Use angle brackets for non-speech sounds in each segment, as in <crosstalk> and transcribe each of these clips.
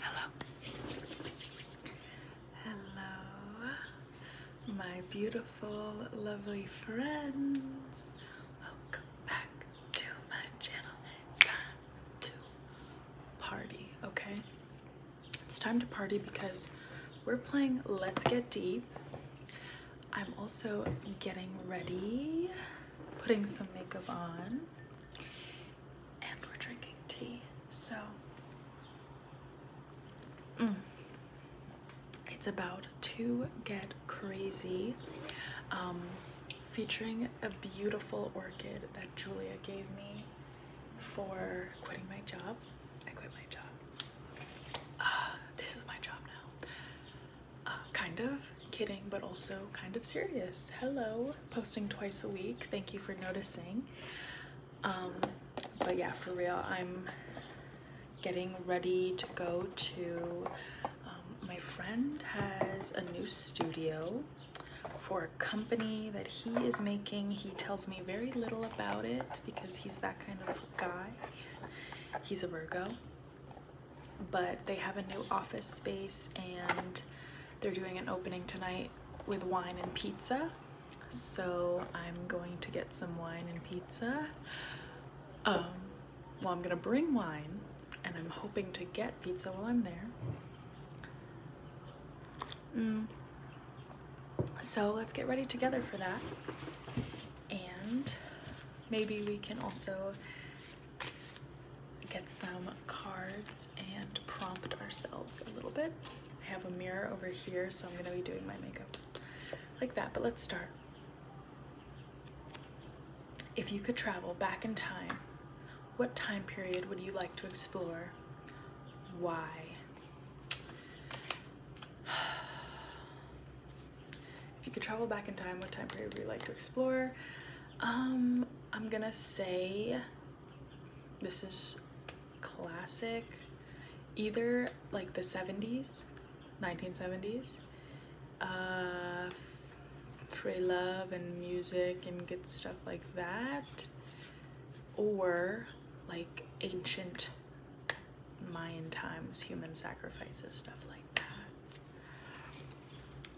Hello. Hello, my beautiful, lovely friends. Welcome back to my channel. It's time to party, okay? It's time to party because we're playing Let's Get Deep. I'm also getting ready putting some makeup on and we're drinking tea. So, mm. it's about to get crazy. Um, featuring a beautiful orchid that Julia gave me for quitting my job. I quit my job. Ah, this is my job now kind of kidding, but also kind of serious. Hello, posting twice a week. Thank you for noticing. Um, but yeah, for real, I'm getting ready to go to, um, my friend has a new studio for a company that he is making. He tells me very little about it because he's that kind of guy. He's a Virgo but they have a new office space and they're doing an opening tonight with wine and pizza. So I'm going to get some wine and pizza. Um, well, I'm gonna bring wine and I'm hoping to get pizza while I'm there. Mm. So let's get ready together for that. And maybe we can also get some cards and prompt ourselves a little bit. I have a mirror over here, so I'm gonna be doing my makeup like that, but let's start. If you could travel back in time, what time period would you like to explore? Why? If you could travel back in time, what time period would you like to explore? Um, I'm gonna say this is classic, either like the 70s, 1970s, uh, free love and music and good stuff like that, or like ancient Mayan times, human sacrifices, stuff like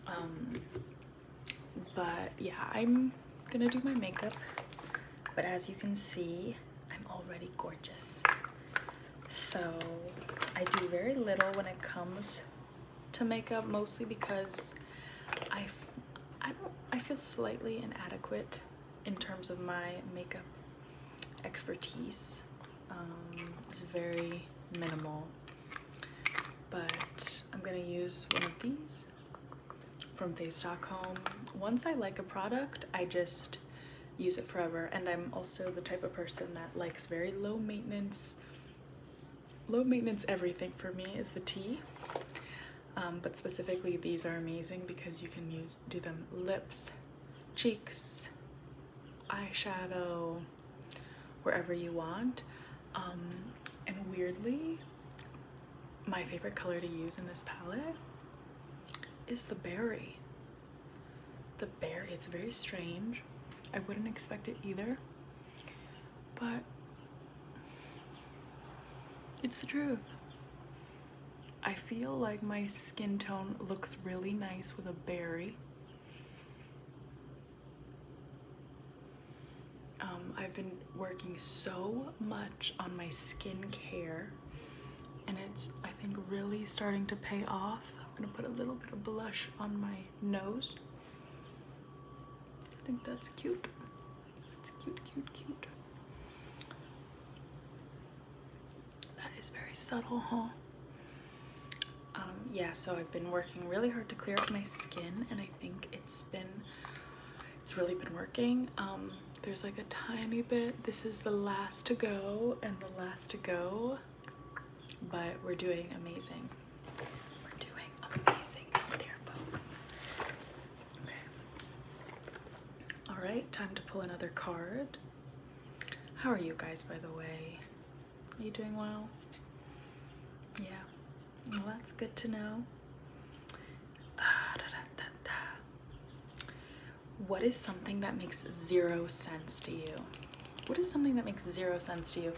um, but yeah, I'm gonna do my makeup. But as you can see, I'm already gorgeous. So I do very little when it comes to makeup, mostly because I, I don't, I feel slightly inadequate in terms of my makeup expertise. Um, it's very minimal but I'm gonna use one of these from face.com. Once I like a product, I just use it forever. And I'm also the type of person that likes very low maintenance. Low maintenance everything for me is the tea. Um, but specifically these are amazing because you can use do them lips, cheeks, eyeshadow, wherever you want. Um, and weirdly, my favorite color to use in this palette is the berry. The berry, it's very strange. I wouldn't expect it either, but it's the truth. I feel like my skin tone looks really nice with a berry. Um, I've been working so much on my skin care, and it's, I think, really starting to pay off. I'm gonna put a little bit of blush on my nose. I think that's cute. That's cute, cute, cute. That is very subtle, huh? Um, yeah, so I've been working really hard to clear up my skin and I think it's been, it's really been working. Um, there's like a tiny bit, this is the last to go and the last to go, but we're doing amazing. We're doing amazing out there, folks. All right, time to pull another card. How are you guys, by the way? Are you doing well? Yeah. Well, that's good to know. Ah, what is something that makes zero sense to you? What is something that makes zero sense to you?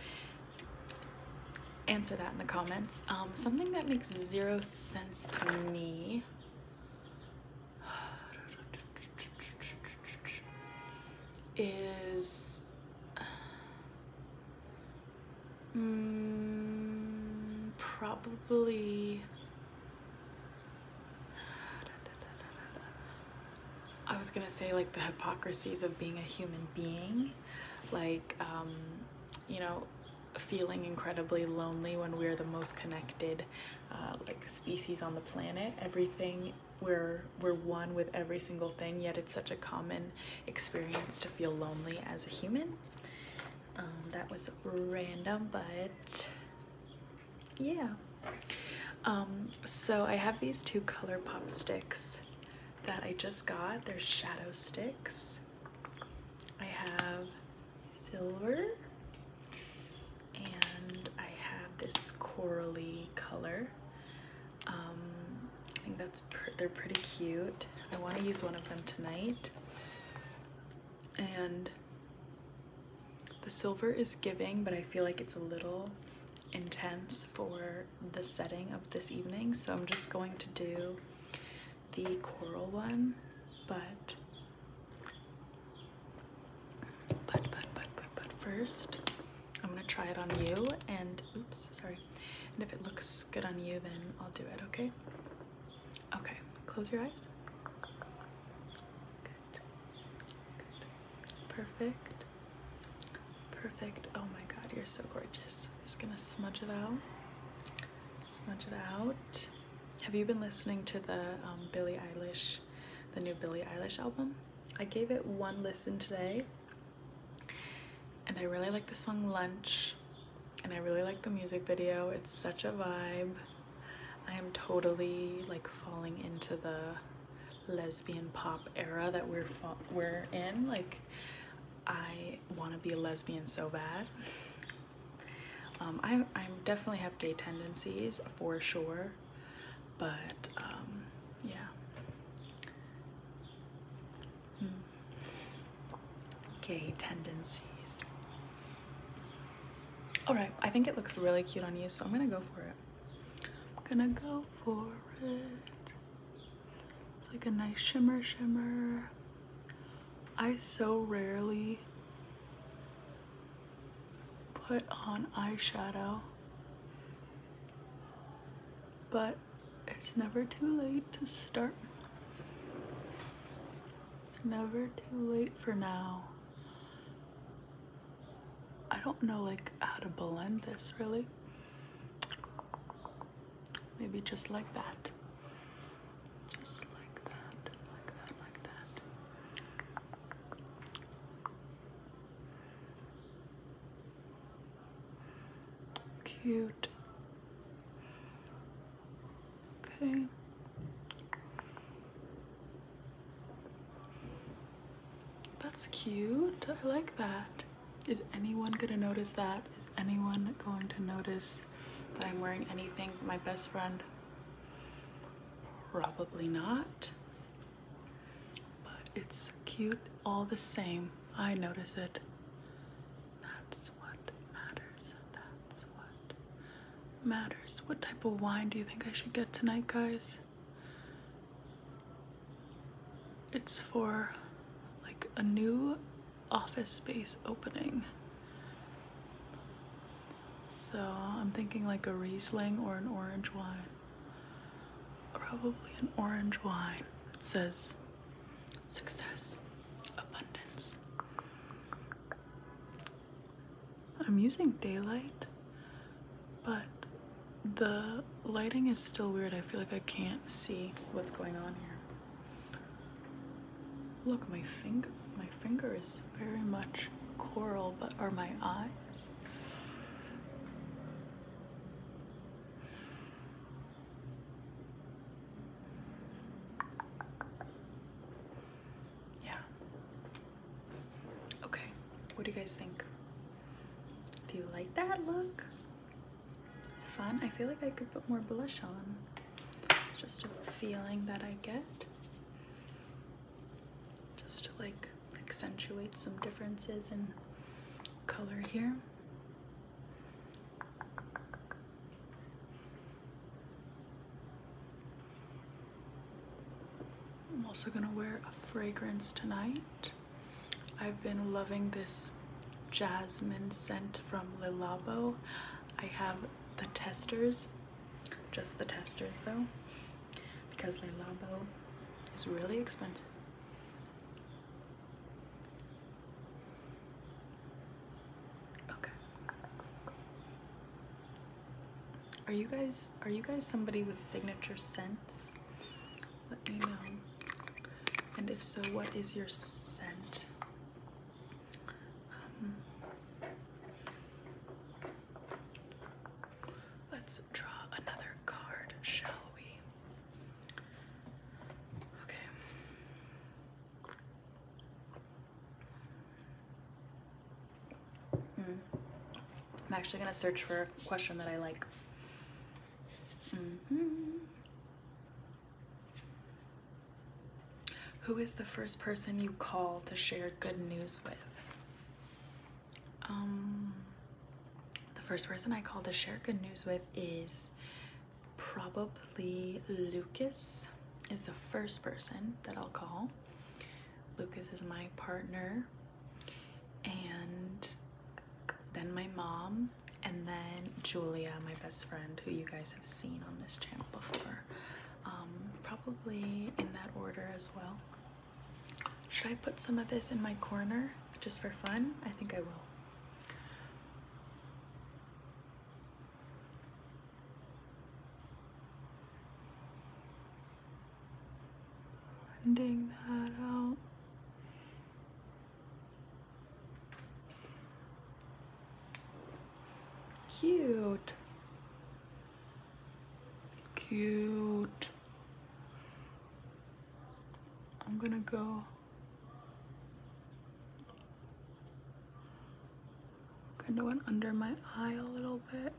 Answer that in the comments. Um, something that makes zero sense to me. <sighs> is um, probably I was gonna say like the hypocrisies of being a human being like um, you know feeling incredibly lonely when we're the most connected uh, like species on the planet everything we're we're one with every single thing yet it's such a common experience to feel lonely as a human um, that was random but yeah um, so I have these two ColourPop sticks that I just got they're shadow sticks I have silver and I have this corally color. Um, I think that's they're pretty cute. I want to use one of them tonight. And the silver is giving, but I feel like it's a little intense for the setting of this evening, so I'm just going to do the coral one, but but, but, but, but, but first, I'm gonna try it on you and, oops, sorry. And if it looks good on you, then I'll do it, okay? Okay, close your eyes. perfect, perfect. Oh my God, you're so gorgeous. Just gonna smudge it out, smudge it out. Have you been listening to the um, Billie Eilish the new Billie Eilish album. I gave it one listen today and I really like the song Lunch and I really like the music video. It's such a vibe. I am totally like falling into the lesbian pop era that we're we're in. Like I want to be a lesbian so bad. Um, I, I definitely have gay tendencies for sure but um, yeah. Hmm. Gay tendencies. Alright, I think it looks really cute on you, so I'm gonna go for it. I'm gonna go for it. It's like a nice shimmer shimmer. I so rarely put on eyeshadow but it's never too late to start. It's never too late for now. I don't know like how to blend this really. Maybe just like that. Just like that, like that, like that. Cute. Okay. That's cute. I like that. Is anyone gonna notice that? Is anyone going to notice that I'm wearing anything my best friend? Probably not. But it's cute all the same. I notice it. That's what matters. That's what matters. What type of wine do you think I should get tonight, guys? It's for like a new office space opening. So I'm thinking like a Riesling or an orange wine. Probably an orange wine. It says success, abundance. I'm using daylight, but the lighting is still weird. I feel like I can't see what's going on here. Look, my finger, my finger is very much coral, but are my eyes yeah. Okay, what do you guys think? Do you like that look? It's fun. I feel like I could put more blush on. Just a feeling that I get just to like accentuate some differences in color here. I'm also gonna wear a fragrance tonight. I've been loving this jasmine scent from Lilabo. I have the testers, just the testers though because Le Labo is really expensive. Okay. Are you guys are you guys somebody with signature scents? Let me know. And if so, what is your scent? Um, Let's draw another card, shall we? Okay. Hmm. I'm actually going to search for a question that I like. Mm-hmm. Who is the first person you call to share good news with? Um, the first person I call to share good news with is probably Lucas is the first person that I'll call. Lucas is my partner and then my mom and then Julia, my best friend, who you guys have seen on this channel before. Um, probably in that order as well. Should I put some of this in my corner just for fun? I think I will. Blending that out. Cute. Cute. I'm gonna go. Kind of went under my eye a little bit.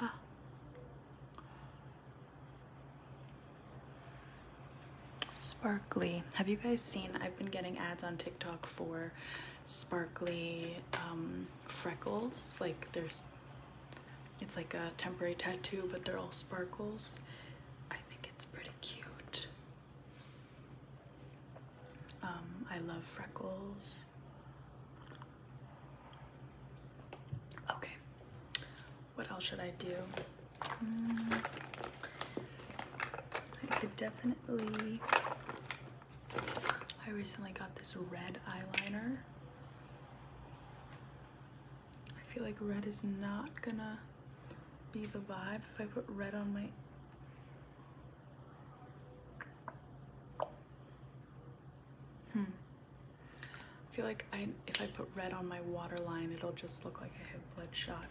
Ah. Sparkly. Have you guys seen? I've been getting ads on TikTok for sparkly um, freckles. Like there's, it's like a temporary tattoo, but they're all sparkles. I think it's pretty cute. Um, I love freckles. Okay, what else should I do? Hmm. I could definitely I recently got this red eyeliner. I feel like red is not gonna be the vibe if I put red on my hmm I feel like I if I put red on my waterline it'll just look like I have bloodshot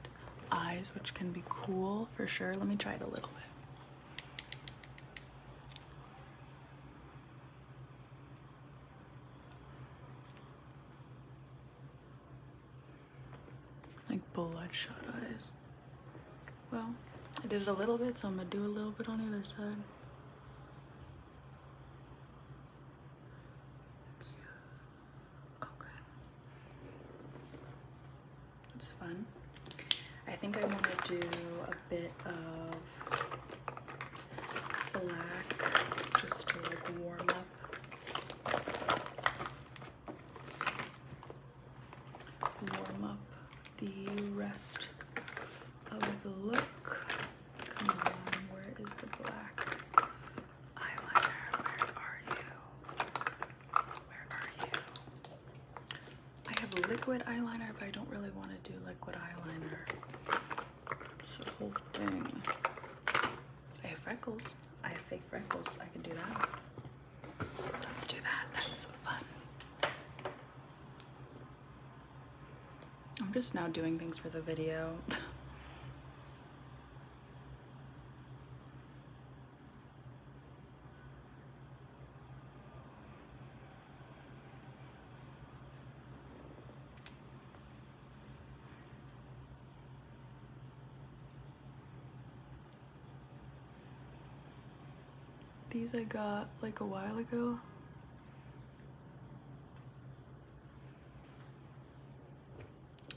eyes which can be cool for sure let me try it a little bit like bloodshot eyes. Well, I did it a little bit, so I'm gonna do a little bit on either side. Okay. That's fun. I think I want to do a bit of black just to warm up. Warm up the rest of the look. Come on, where is the black eyeliner? Where are you? Where are you? I have liquid eyeliner, but I don't really want to do liquid eyeliner. It's the I have freckles. I have fake freckles. I can do that. Let's do that. That's fun. I'm just now doing things for the video. <laughs> These I got like a while ago.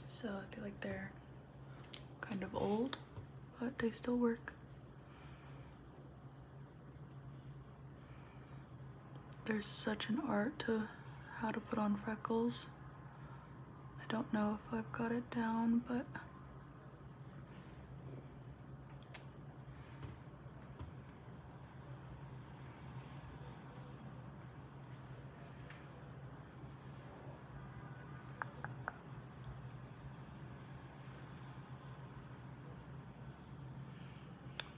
So I feel like they're kind of old, but they still work. There's such an art to how to put on freckles. I don't know if I've got it down, but...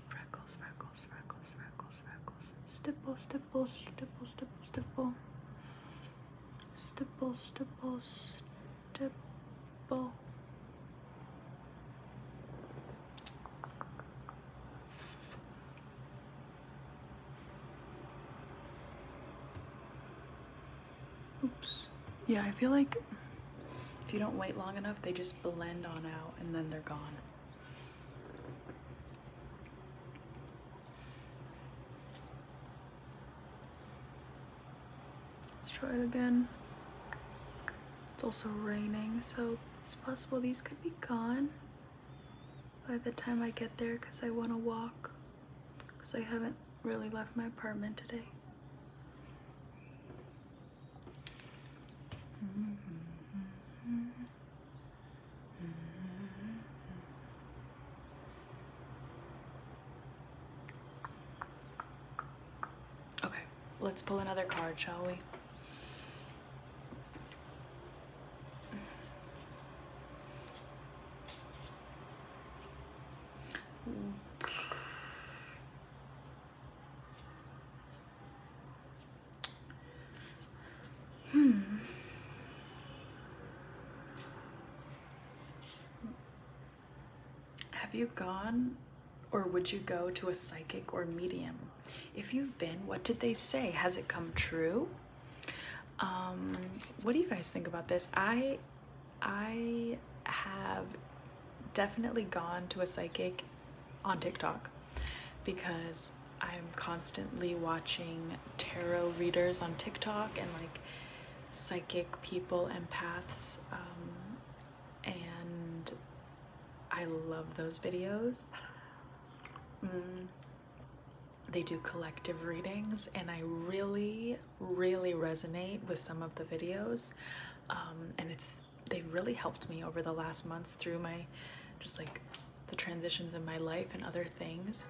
Freckles, freckles, freckles, freckles, freckles. Stipple, stipple, stipple, stipple, stipple. Stipple, stipple, stipple. Oops. Yeah, I feel like if you don't wait long enough, they just blend on out and then they're gone. Let's try it again. It's also raining, so it's possible these could be gone by the time I get there because I want to walk because I haven't really left my apartment today. Okay, let's pull another card, shall we? Hmm. Have you gone or would you go to a psychic or medium? If you've been, what did they say? Has it come true? Um, what do you guys think about this? I I have definitely gone to a psychic on TikTok because I'm constantly watching tarot readers on TikTok and like psychic people, empaths, um, and I love those videos. Mm. They do collective readings, and I really really, resonate with some of the videos. Um, and it's they've really helped me over the last months through my just like the transitions in my life and other things.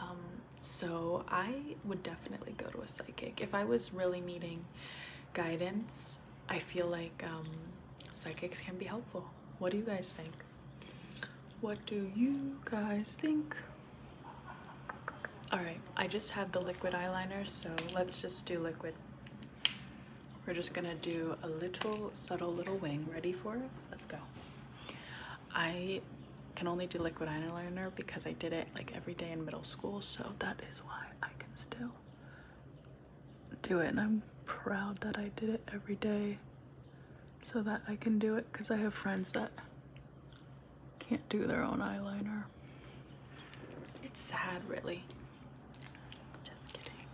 Um, so I would definitely go to a psychic. If I was really needing guidance, I feel like um, psychics can be helpful. What do you guys think? What do you guys think? Alright, I just have the liquid eyeliner, so let's just do liquid. We're just gonna do a little subtle little wing. Ready for it? Let's go. I can only do liquid eyeliner because I did it like every day in middle school, so that is why I can still do it. And I'm proud that I did it every day so that I can do it because I have friends that can't do their own eyeliner. It's sad, really. Just kidding.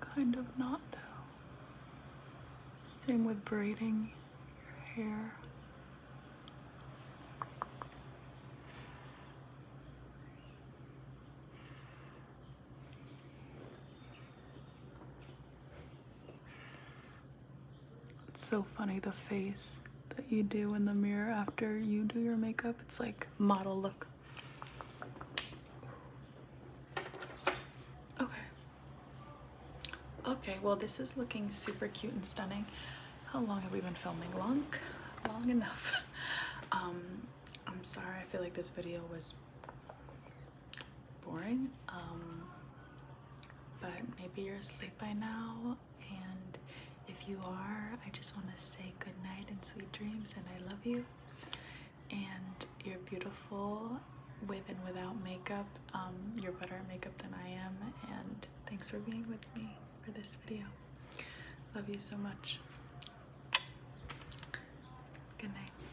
Kind of not, though. Same with braiding your hair. It's so funny the face that you do in the mirror after you do your makeup. It's like model look. Okay. Okay, well this is looking super cute and stunning. How long have we been filming? Long? Long enough. <laughs> um, I'm sorry, I feel like this video was boring. Um, but maybe you're asleep by now. And if you are, I just want to say good night and sweet dreams, and I love you. And you're beautiful with and without makeup. Um, you're better at makeup than I am. And thanks for being with me for this video. Love you so much. Good night.